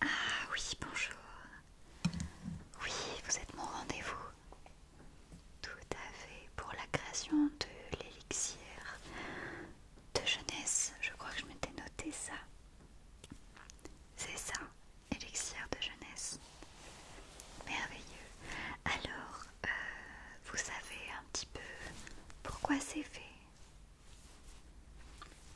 Ah oui, bonjour. Oui, vous êtes mon rendez-vous. Tout à fait, pour la création de l'élixir de jeunesse, je crois que je m'étais noté ça. C'est ça, élixir de jeunesse. Merveilleux. Alors, euh, vous savez un petit peu pourquoi c'est fait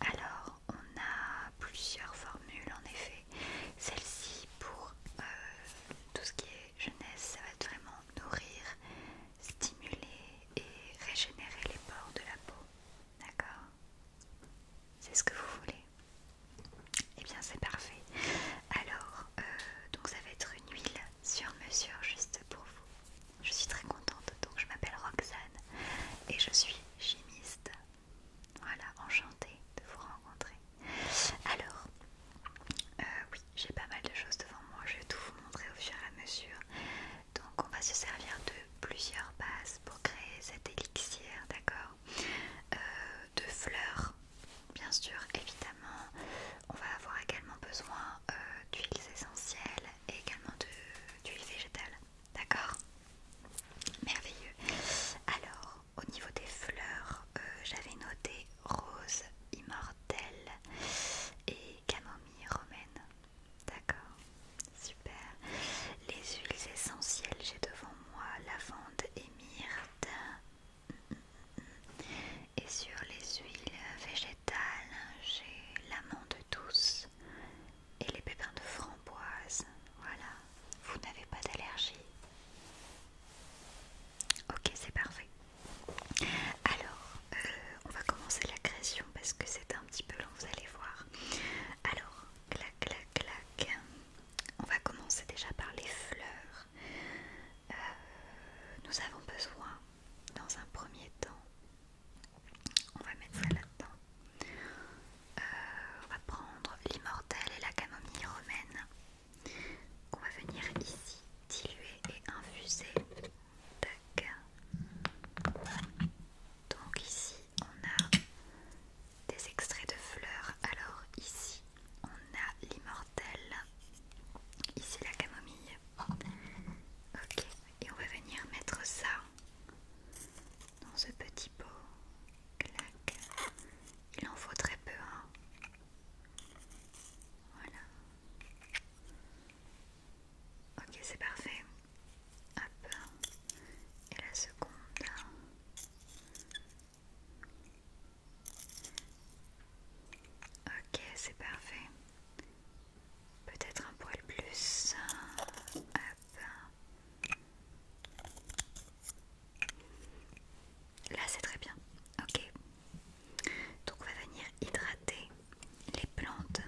Alors, on a plusieurs formules en effet. Celle-ci pour euh, tout ce qui est jeunesse, ça va être vraiment nourrir stimuler et régénérer les pores de la peau. D'accord C'est ce que vous voulez Et eh bien, c'est parfait. Alors, euh, donc ça va être une huile sur mesure juste pour vous. Je suis très contente. Donc, je m'appelle Roxane et je suis chimiste. Voilà, enchantée de vous rencontrer. Alors, euh, oui, j'ai pas mal de choses devant moi. Je vais tout vous montrer au fur et à mesure. Donc on va se servir de plusieurs bases pour créer cette élixir, d'accord euh, De fleurs, bien sûr, évidemment. On va avoir également besoin euh, d'huiles essentielles et également d'huiles végétales, d'accord Merveilleux. Alors, au niveau des fleurs, euh, j'avais noté rose immortelle et camomille romaine. D'accord, super. Les huiles essentielles, j'ai devant moi lavande et myrte. Et sur les huiles végétales, j'ai l'amande douce et les pépins de framboise. Voilà, vous n'avez pas d'allergie. Ok, c'est parfait. Alors, euh, on va commencer la création parce que c'est un petit peu long, vous allez voir. Alors, clac, clac, clac. On va commencer déjà par les fleurs. Euh, nous avons besoin, dans un premier temps, on va mettre ça là-dedans. Euh, on va prendre l'immortel et la camomille romaine qu'on va venir ici diluer et infuser donc ici on a des extraits de fleurs. Alors ici on a l'immortel, ici la camomille. Ok, et on va venir mettre ça dans ce petit pot. Il en faut très peu. Hein. Voilà. Ok, c'est parfait. Hop. Et la seconde. Ok, c'est parfait. Peut-être un poil plus. Hop. Là, c'est très bien. Ok. Donc on va venir hydrater les plantes.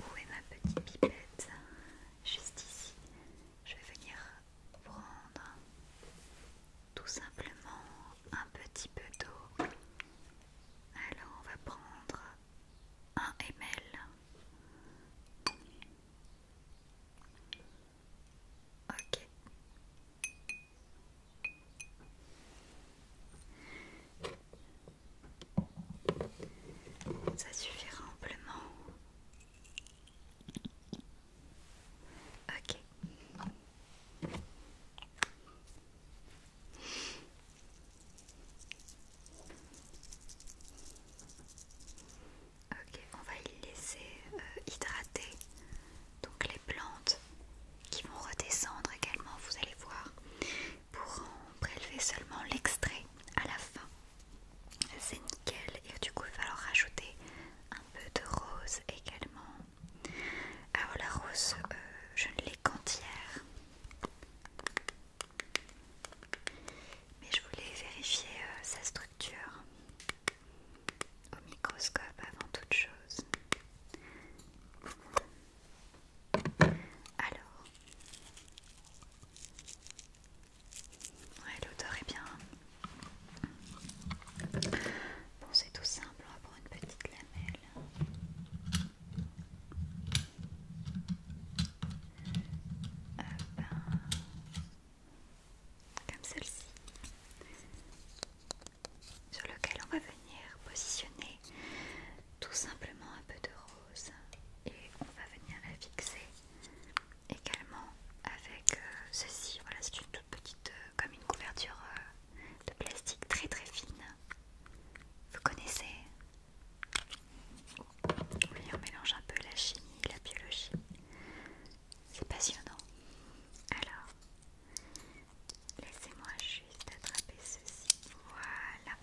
Où est ma petite pipette Juste ici. Je vais venir prendre tout simplement un petit peu d'eau. Alors on va prendre 1 ml. Ok. Ça suffira amplement. Ok. Ok, on va y laisser euh, hydrater donc les plantes qui vont redescendre également, vous allez voir, pour en prélever seulement l'extrait à la fin. C'est nickel et du coup il va falloir rajouter un peu de rose également. Alors la rose, euh, je ne l'ai qu'entière. Mais je voulais vérifier euh, sa structure au microscope avant toute chose. Alors, ouais, l'odeur est bien. Bon, c'est tout simple, on va prendre une petite lamelle comme celle-ci, sur lequel on va venir positionner tout simplement un peu de rose et on va venir la fixer également avec euh, ceci. Voilà, c'est une toute petite, euh, comme une couverture euh, de plastique très très fine. Vous connaissez Oui, on mélange un peu la chimie, la biologie c'est passionnant. Alors, laissez-moi juste attraper ceci. Voilà.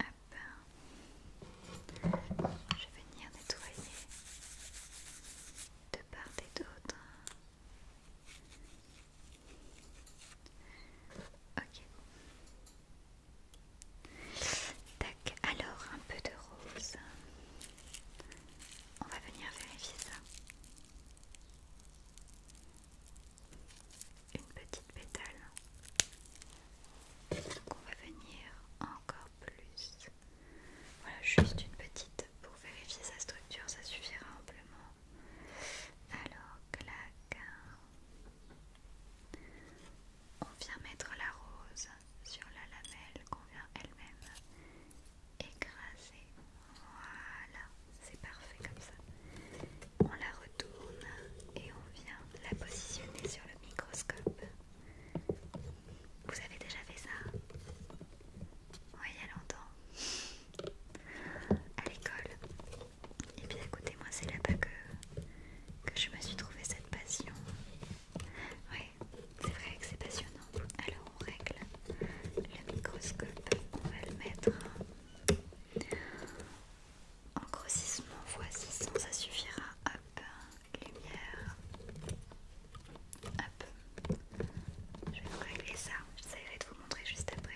Hop. Je vais venir nettoyer de part et d'autre. Ok. Tac, alors un peu de rose. On va venir vérifier ça. Une petite pétale. Donc on va venir encore plus. Voilà, juste une petite pour vérifier sa structure, ça suffira amplement. Alors, clac. On vient mettre la rose sur la lamelle qu'on vient elle-même écraser. Voilà, c'est parfait comme ça. On la retourne et on vient la positionner sur le microscope. Vous avez déjà fait ça oui, il y a longtemps. À l'école. Et eh puis écoutez, moi c'est là-bas que, je me suis trouvé cette passion. Oui, c'est vrai que c'est passionnant. Alors on règle le microscope. On va le mettre en grossissement voici ça suffira. Hop, lumière. Hop. Je vais vous régler ça, j'essaierai de vous montrer juste après.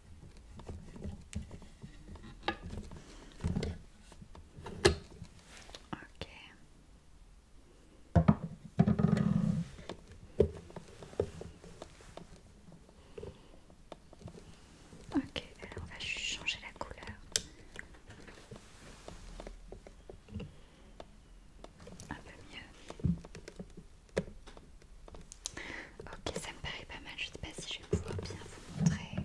Ok. Ok, alors on va changer la couleur. Un peu mieux. Ok, ça me paraît pas mal. Je sais pas si je vais pouvoir bien vous montrer.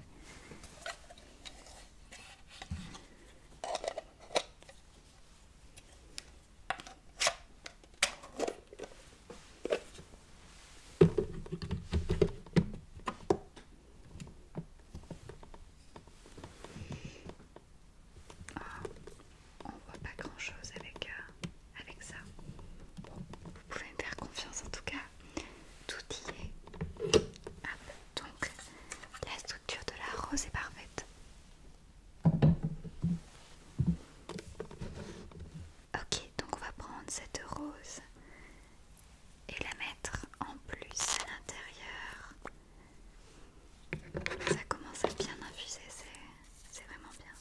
Ah, on voit pas grand chose avec euh, avec ça. vous pouvez me faire confiance en tout cas, tout y est. Donc, la structure de la rose est parfaite. Ok, donc on va prendre cette rose et la mettre en plus à l'intérieur. Ça commence à bien infuser, c'est vraiment bien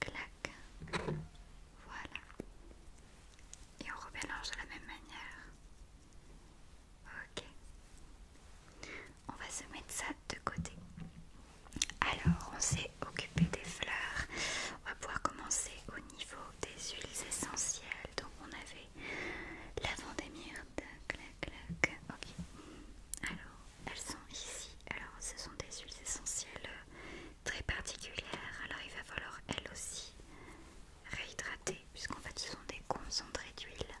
clac, voilà. Et on remélange de la même manière. Ok. On va se mettre ça de côté. Alors, on s'est occupé des fleurs. On va pouvoir commencer au niveau des huiles essentielles. Donc, on avait l'avant des myrte. Clac, clac. Ok. Alors, elles sont ici. Alors, ce sont des huiles essentielles euh, très particulière. Alors il va falloir elle aussi réhydrater puisqu'en fait ce sont des concentrés d'huile.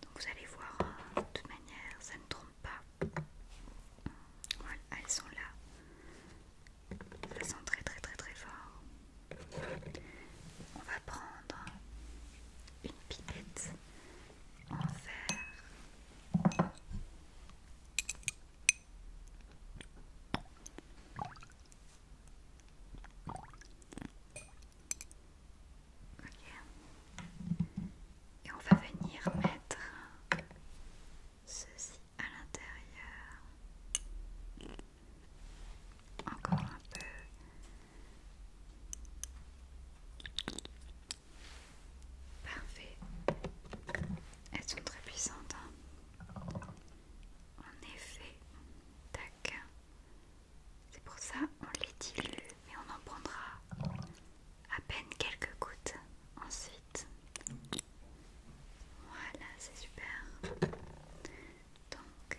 Donc vous allez voir, euh, de toute manière, ça ne trompe pas. Voilà, elles sont là. elles sont très très très très fort. On va prendre une pipette en verre. Et on va venir mettre ceci à l'intérieur. Encore un peu. Parfait. Elles sont très puissantes. Hein. en effet. Tac. C'est pour ça on les dilue mais on en prendra à peine quelques gouttes ensuite. Voilà, c'est super. Donc,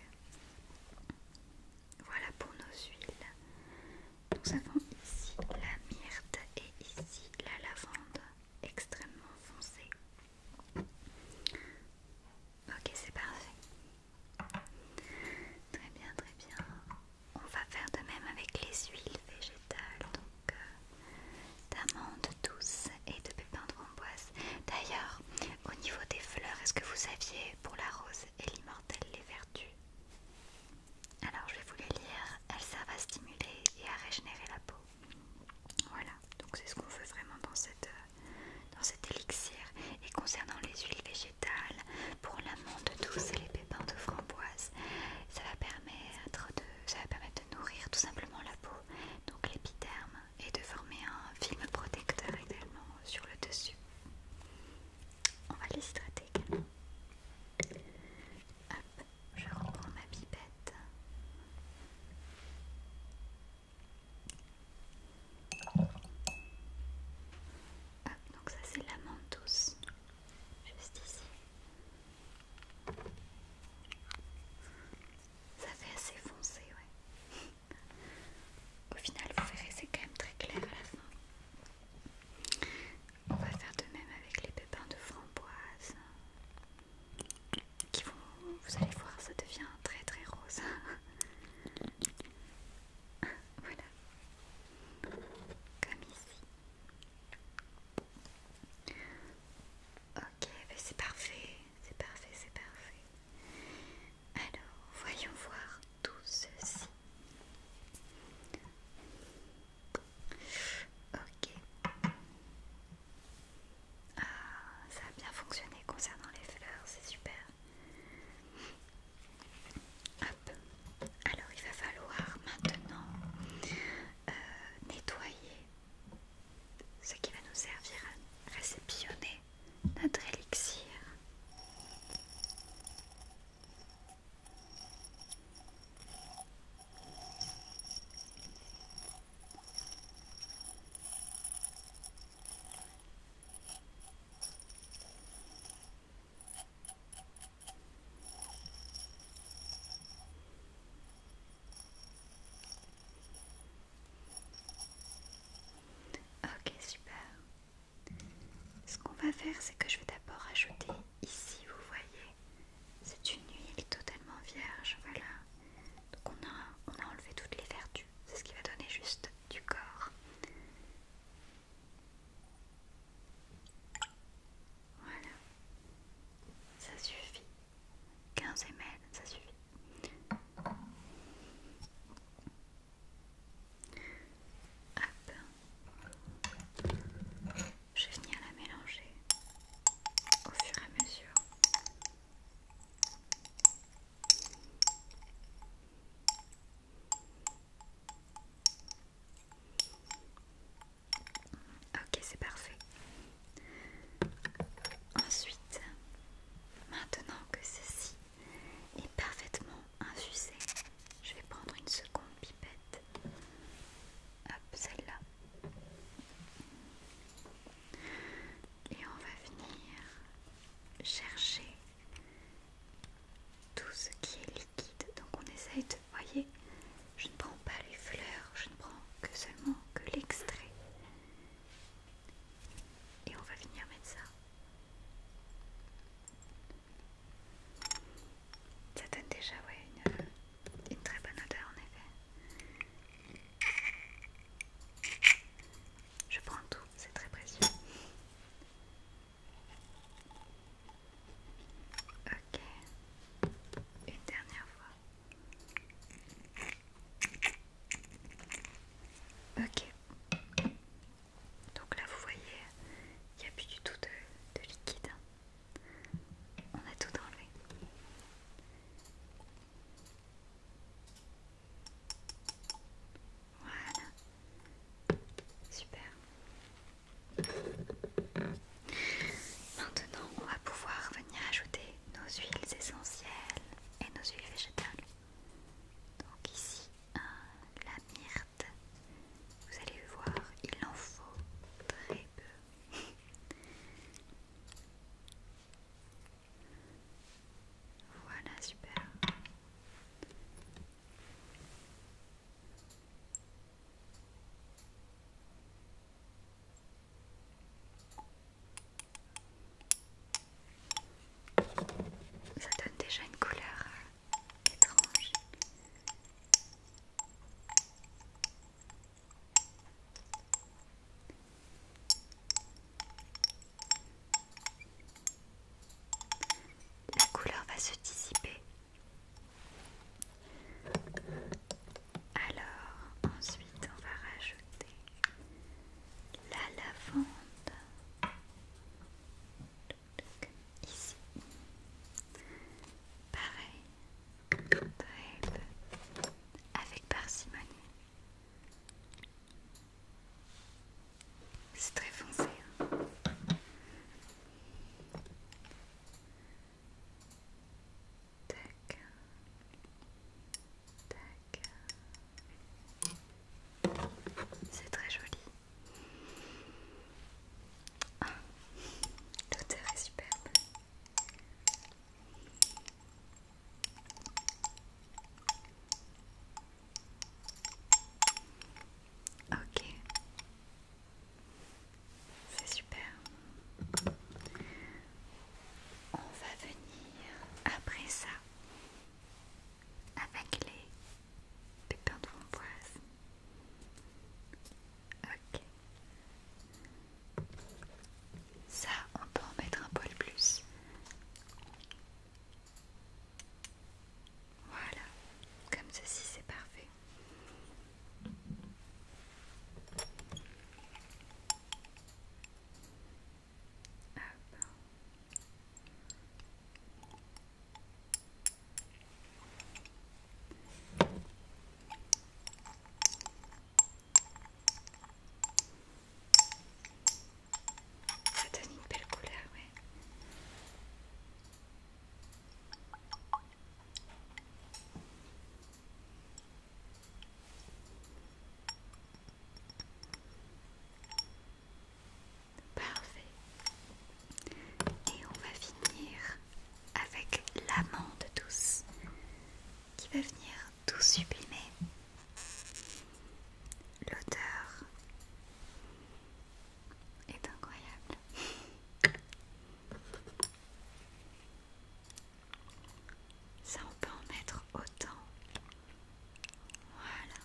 voilà pour nos huiles. Nous avons ici la myrte et ici la lavande extrêmement foncée. Ok, c'est parfait. Très bien, très bien. On va faire de même avec les huiles végétales, donc euh, d'amande douce et de pépins de framboise. D'ailleurs, au niveau des fleurs, est-ce que vous aviez pour la rose et l'immortel, les vertus alors je vais vous les lire, elles servent à stimuler et à régénérer la peau. Voilà, donc c'est ce qu'on veut vraiment dans, cette, euh, dans cet élixir. Et concernant les huiles végétales, pour l'amande douce et les pépins de framboise, ça va permettre de, ça va permettre de nourrir tout simplement la peau, donc l'épiderme, et de former un film protecteur également sur le dessus. On va les hydrater également. Hop, je reprends ma pipette. Hop, donc ça c'est la douce, juste ici. Ça fait assez foncé, ouais. Au final, vous verrez, c'est quand même très clair à la fin. On va faire de même avec les pépins de framboise qui vont, vous allez voir, ça devient très très rose. voilà, comme ici. Ok, ben c'est parfait, c'est parfait, c'est parfait. Alors, voyons voir tout ceci. Ok. Ah, ça a bien fonctionné concernant les fleurs, c'est super. Hop. Alors il va falloir maintenant euh, nettoyer ce qui va nous servir à réceptionner notre élixir. Ok, super. Ce qu'on va faire, c'est que je vais d'abord ajouter ici, vous voyez, c'est une huile totalement vierge, voilà. Donc on a, on a enlevé toutes les vertus, c'est ce qui va donner juste du corps. Voilà, ça suffit. 15 ml, ça suffit. Hop. Je vais venir la mélanger au fur et à mesure. Ok, c'est parfait. Ensuite, maintenant que ceci est parfaitement infusé, je vais prendre une seconde celle-là. Et on va venir chercher tout ce qui est liquide. Donc on essaye de, voyez, je ne prends pas les fleurs, je ne prends que seulement que l'extrait. Et on va venir mettre ça ça donne déjà oui, une, euh, une très bonne odeur en effet. Je prends tout, c'est très précieux. Ok, une dernière fois. Ok, donc là vous voyez, il n'y a plus du tout de, liquide. On a tout enlevé. Voilà. Super. Maintenant, on va pouvoir venir ajouter nos huiles essentielles et nos huiles végétales. Donc ici, la myrte. Vous allez voir, il en faut très peu. voilà, super. Ça donne déjà une couleur hein. La couleur va se dissiper. Alors, ensuite, on va rajouter la lavande ici. Pareil, avec parcimonie. C'est très foncé. Hein. C'est très joli. Tout ah, est superbe. Ok. C'est super. On va venir après ça avec les pépins de framboise. Ok. Ça, on peut en mettre un peu plus. Voilà, comme ceci, c'est parfait. Ça donne une belle couleur, ouais. Parfait. Et on va finir avec l'amande douce qui va venir tout sublimer l'odeur est incroyable ça on peut en mettre autant voilà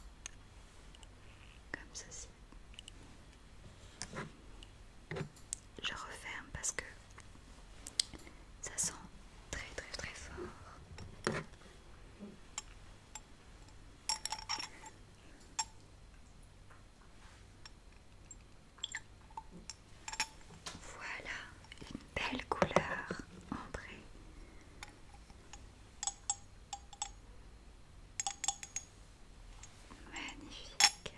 comme ceci. Je referme parce que ça sent très très très fort. Voilà une belle couleur entrée Magnifique.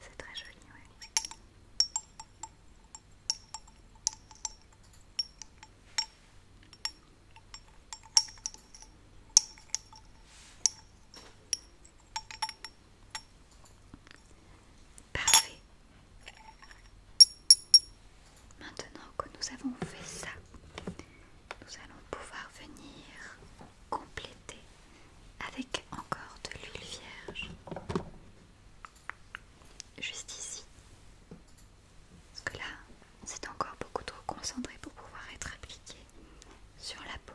C'est très joli, oui. Parfait. Maintenant que nous avons fait ça, nous allons pouvoir venir compléter avec encore de l'huile vierge. Juste ici. Parce que là, c'est encore beaucoup trop concentré pour pouvoir être appliqué sur la peau.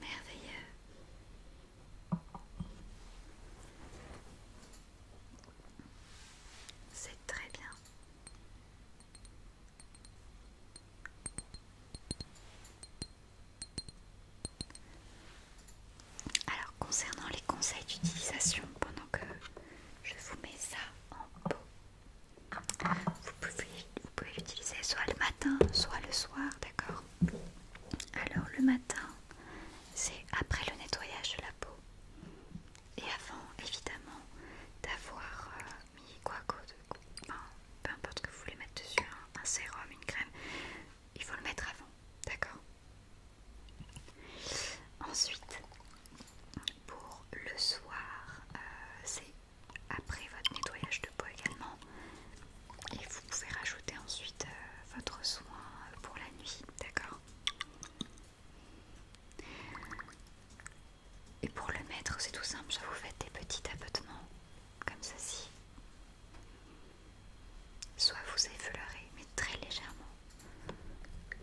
Merveilleux. C'est très bien. Alors concernant les conseils d'utilisation, pendant que je vous mets ça en peau, vous pouvez, l'utiliser soit le matin, soit le soir, d'accord Alors le matin, c'est après le nettoyage de la peau et avant évidemment d'avoir euh, mis quoi que soit, peu importe que vous voulez mettre dessus, hein, un sérum, une crème, il faut le mettre avant, d'accord Ensuite, pour le soir, euh, c'est après votre nettoyage de peau également. Et vous pouvez rajouter ensuite euh, votre soin pour la nuit, d'accord Et pour le mettre, c'est tout simple, vous faites des petits tapotements comme ceci. Soit vous effleurez, mais très légèrement.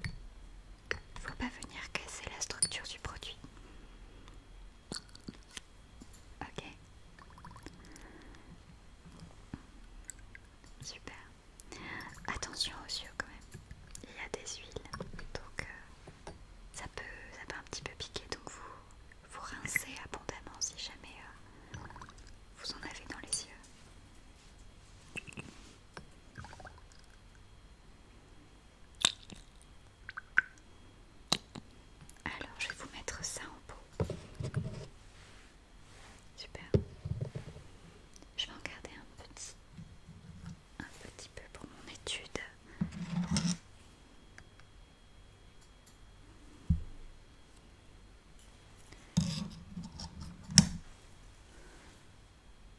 Il ne faut pas venir casser la structure du produit. Ok. Super. Attention aux yeux quand même. Il y a des huiles, donc euh, ça, peut, ça peut un petit peu piquer, donc vous, vous rincez abondamment si jamais euh, vous en avez dans les yeux. Alors, je vais vous mettre ça en pot Super. Je vais en garder un petit, un petit peu pour mon étude.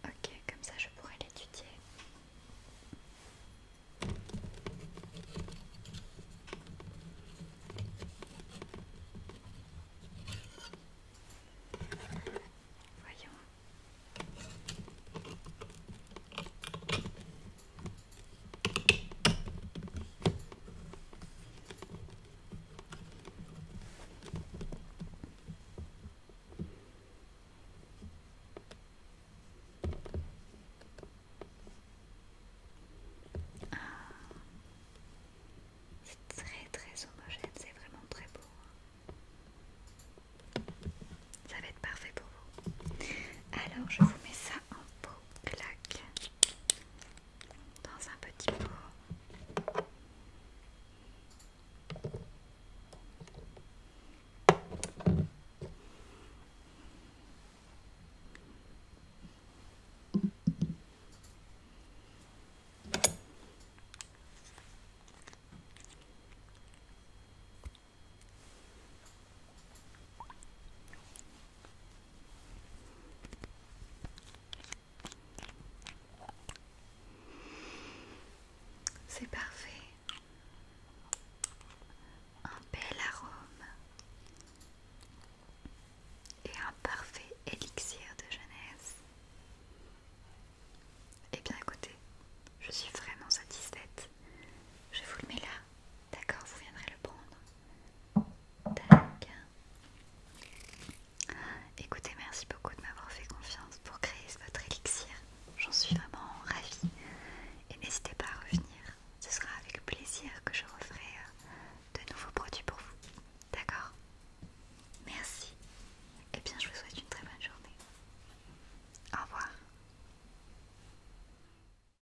Ok, comme ça je pourrais l'étudier. Voyons. C'est très très homogène, c'est vraiment très beau. Ça va être parfait pour vous. Alors je vous mets ça un en de plaque dans un petit pot. C'est parfait. Un bel arôme et un parfait élixir de jeunesse. Et eh bien écoutez, je suis vraiment satisfaite. Je vous le mets là D'accord, vous viendrez le prendre. Tac. Écoutez, merci beaucoup de m'avoir fait confiance pour créer votre élixir. J'en suis vraiment ravie. Et n'hésitez pas à revenir. Ce sera avec plaisir que je referai euh, de nouveaux produits pour vous. D'accord Merci. Et eh bien, je vous souhaite une très bonne journée. Au revoir.